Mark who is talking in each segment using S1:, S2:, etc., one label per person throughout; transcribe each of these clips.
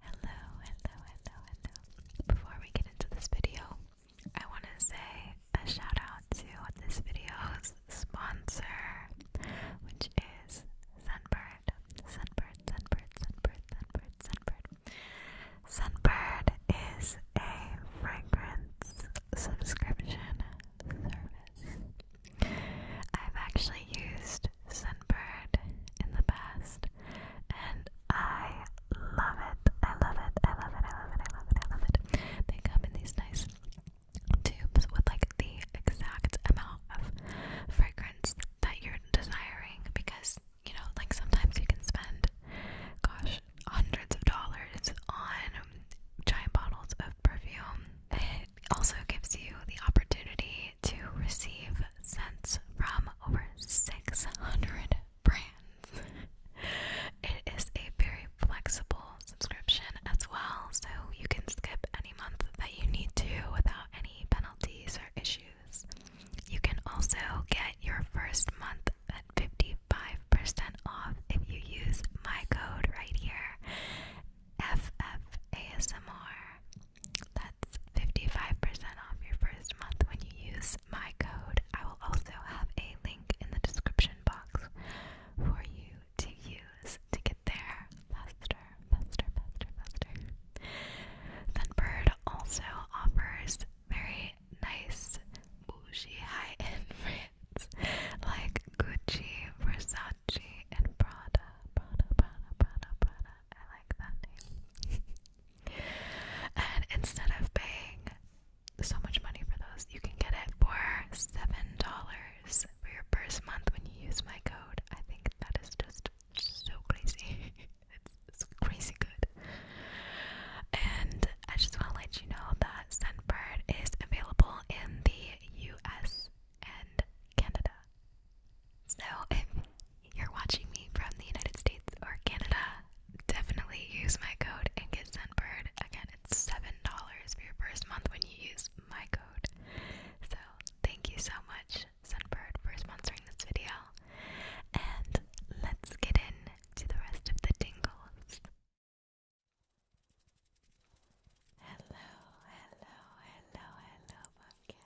S1: Hello, hello, hello, hello. Before we get into this video, I want to say a shout out to this video's sponsor, which is Sunbird. Sunbird, Sunbird, Sunbird, Sunbird, Sunbird. Sunbird is a fragrance subscription service. I've actually used Sunbird in the past and I love it. I love it. I love it. I love it. I love it. I love it. They come in these nice tubes with like the exact amount of fragrance that you're desiring because you know, like sometimes you can spend, gosh, hundreds of dollars on giant bottles of perfume. It also gives you the opportunity to receive cents from over 600 brands. it is a very flexible subscription as well, so you can skip any month that you need to without any penalties or issues. You can also get your first month at 55% off if you use my code right here FFASMR. That's 55% off your first month when you use my code. I will also have a link in the description box for you to use to get there faster, faster, faster, faster. Sunbird also offers very nice bougie high-end brands like Gucci, Versace, and Prada. Prada, Prada, Prada, Prada. I like that name. And instead of paying so much money for those, you can get it for seven dollars for your first month when you use my code. I think that is just so crazy. it's, crazy good. And I just want to let you know that Sunbird is available in the U.S. and Canada. So, if you're watching me from the United States or Canada, definitely use my code and get Sunbird. Again, it's $7 for your first month when you use my code. So, thank you so much, Sunbird, for sponsoring this video. And let's get into the rest of the tingles. Hello, hello, hello, hello, podcast.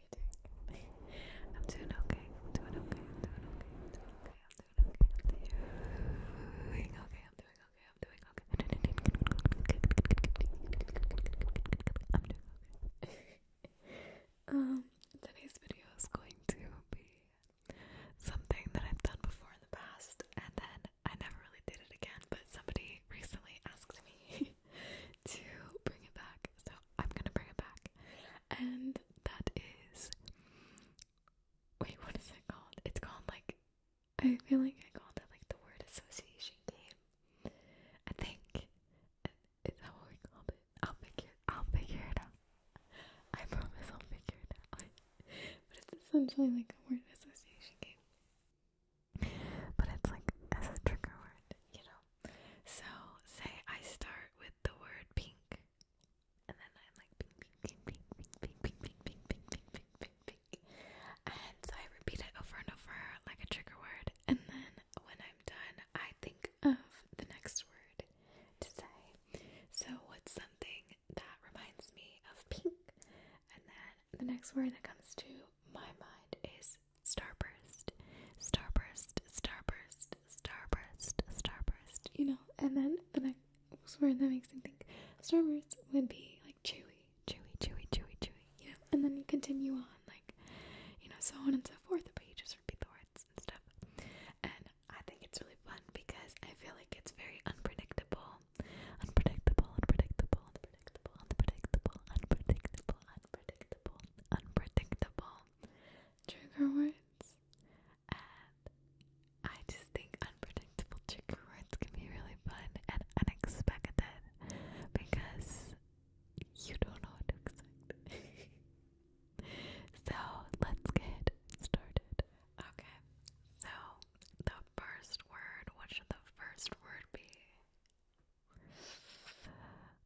S1: you doing? I'm doing okay. I'm doing okay. I'm doing okay. I'm doing okay. I'm doing okay. I'm doing okay. I'm doing okay. I'm doing okay. I'm doing okay. Um, today's video is going to be something that I've done before in the past, and then I never really did it again. But somebody recently asked me to bring it back, so I'm gonna bring it back. And that is wait, what is it called? It's called like I feel like I called it like the word association game. I think is that what we called it? I'll figure I'll figure it out. I promise I'll figure it out. but it's essentially like a word association game. But it's like as a trigger word, you know. So say I start with the word pink, and then I'm like pink, pink, pink, pink, pink, pink, pink, pink, pink, pink, pink, pink, pink, and so I repeat it over and over like a trigger word, and then when I'm done, I think of the next word to say. So what's something that reminds me of pink? And then the next word that comes to my mind is starburst, starburst, starburst, starburst, starburst, you know. And then the next word that makes me think starburst would be like chewy, chewy, chewy, chewy, chewy, you know. And then you continue on, like, you know, so on and so forth, but you just repeat the words and stuff. And I think it's really fun because I feel like it's very unpredictable. Unpredictable, unpredictable, unpredictable, unpredictable, unpredictable, unpredictable, unpredictable trigger words, and I just think unpredictable trigger words can be really fun and unexpected because you don't know what to expect. so let's get started. Okay, so the first word, what should the first word be?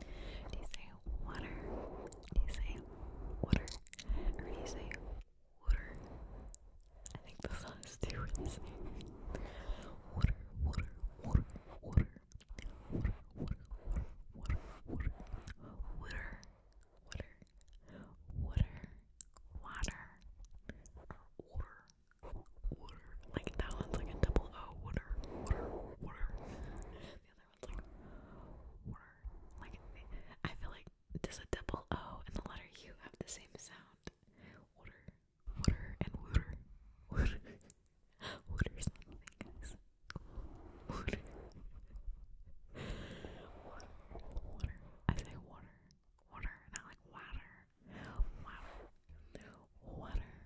S1: Do you say water? Do you say water? Or do you say water? I think the last two water, water, water. Water, water, water, water, water. Water, water, water, water. Water, water, water. Like that one's like a double O, water, water, water. The other one's like water. Like I feel like does a double O and the letter U have the same sound? Water, water, and water, water. Water's not guys. water, water. I say water, water, not like water, water, water,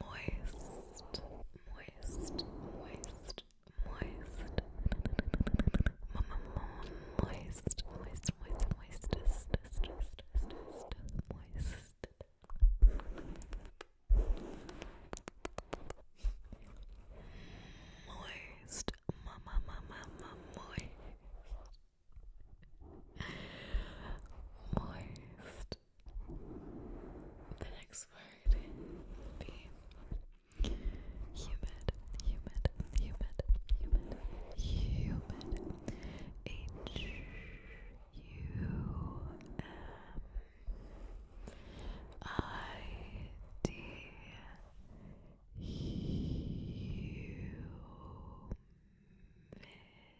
S1: moist, moist, moist, moist, moist, moist, moist, moist, just, just, just, just, moist. Moist, mama, mama, mama, moist. Moist. The next word humid, humid, humid, humid. H U M I D humid.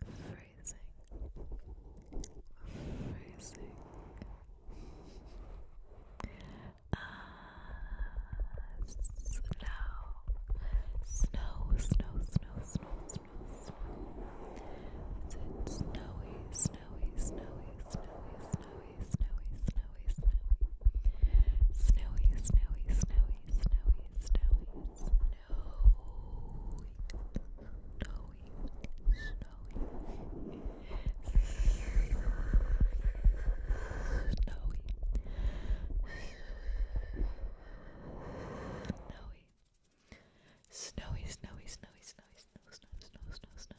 S1: Freezing. Freezing. Ah, snow. Snow, snow, snow, snow, snow, snow. Is snowy, snowy, snowy, snowy, snowy, snowy, snowy? snowy, snowy, snowy, snowy, snowy, snowy, snowy, snowy, snowy, snowy, snowy, snowy. Snowy, snowy, snowy, snowy, snow, snow, snow, snow, snow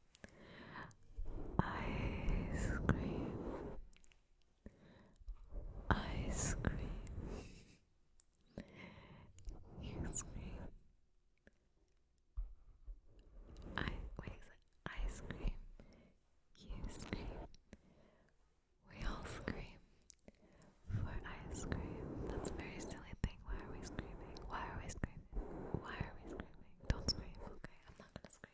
S1: Ice cream, ice cream, ice cream. I wait, is it ice cream? We all scream for ice cream. That's very silly thing. Why are we screaming? Why are we screaming? Why are we screaming? Don't scream. Okay, I'm not gonna scream.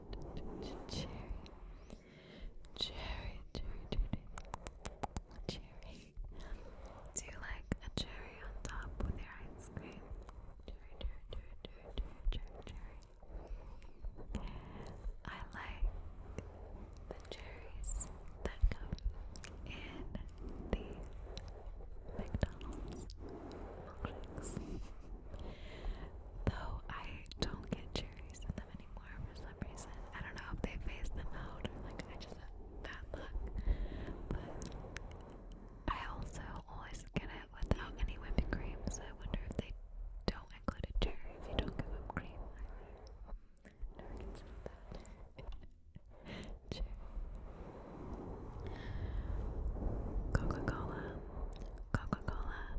S1: cherry, cherry, cherry, cherry. Do you like a cherry on top with your ice cream? Cherry, cherry, cherry, cherry, cherry, cherry. I like the cherries that come in the McDonald's milkshakes. Though I don't get cherries in them anymore for some reason. I don't know if they phased them out or like I just have bad luck. But I also always get it without any whipping cream, so I wonder if they don't include a cherry if you don't give them cream either. Never considered that. Cherry. Coca Cola, Coca Cola,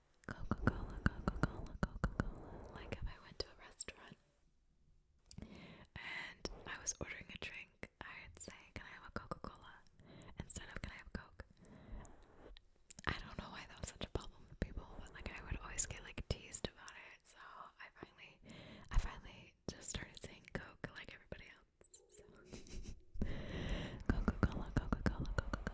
S1: Coca-Cola, Coca-Cola, Coca-Cola. Like if I went to a restaurant and I was ordering a drink, I'd say, Can I have a Coca-Cola? Instead of can I have Coke? I don't know why that was such a problem for people, but like I would always get like teased about it, so I finally I finally just started saying Coke like everybody else. So Coca-Cola, Coca-Cola, Coca-Cola.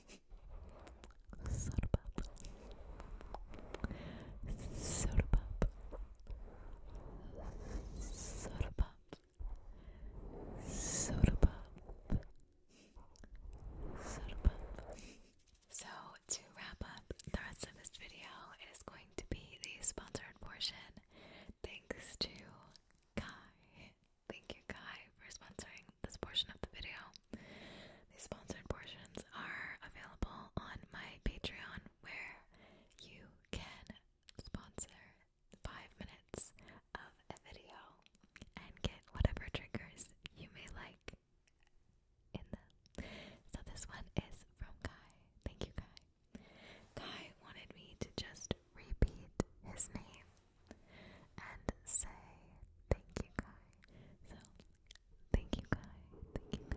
S1: Soda pop. Soda pop. Soda pop. Soda pop. Soda pop. So to wrap up the rest of this video, it is going to be the sponsored portion. Thanks to Kai Thank you, Kai, for sponsoring this portion of the video. These sponsored portions are available on my Patreon, where you can sponsor five minutes of a video and get whatever triggers you may like in them. So this one is from Kai. Thank you, Kai. Kai wanted me to just repeat his name and say thank you guy. So thank you guy, thank you guy,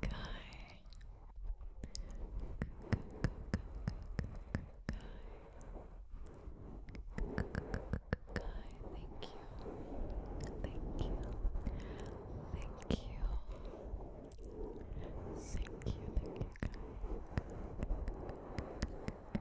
S1: Guy. Guy, thank you. Thank you. Thank you. Thank you, thank you,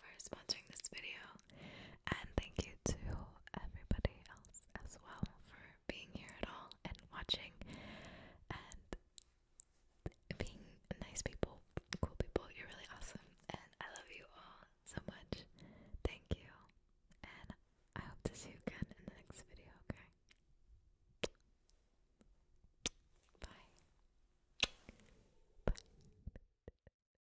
S1: for sponsoring this video, and thank you to everybody else as well for being here at all and watching and being nice people, cool people. You're really awesome, and I love you all so much. Thank you, and I hope to see you again in the next video. Okay, bye. Bye.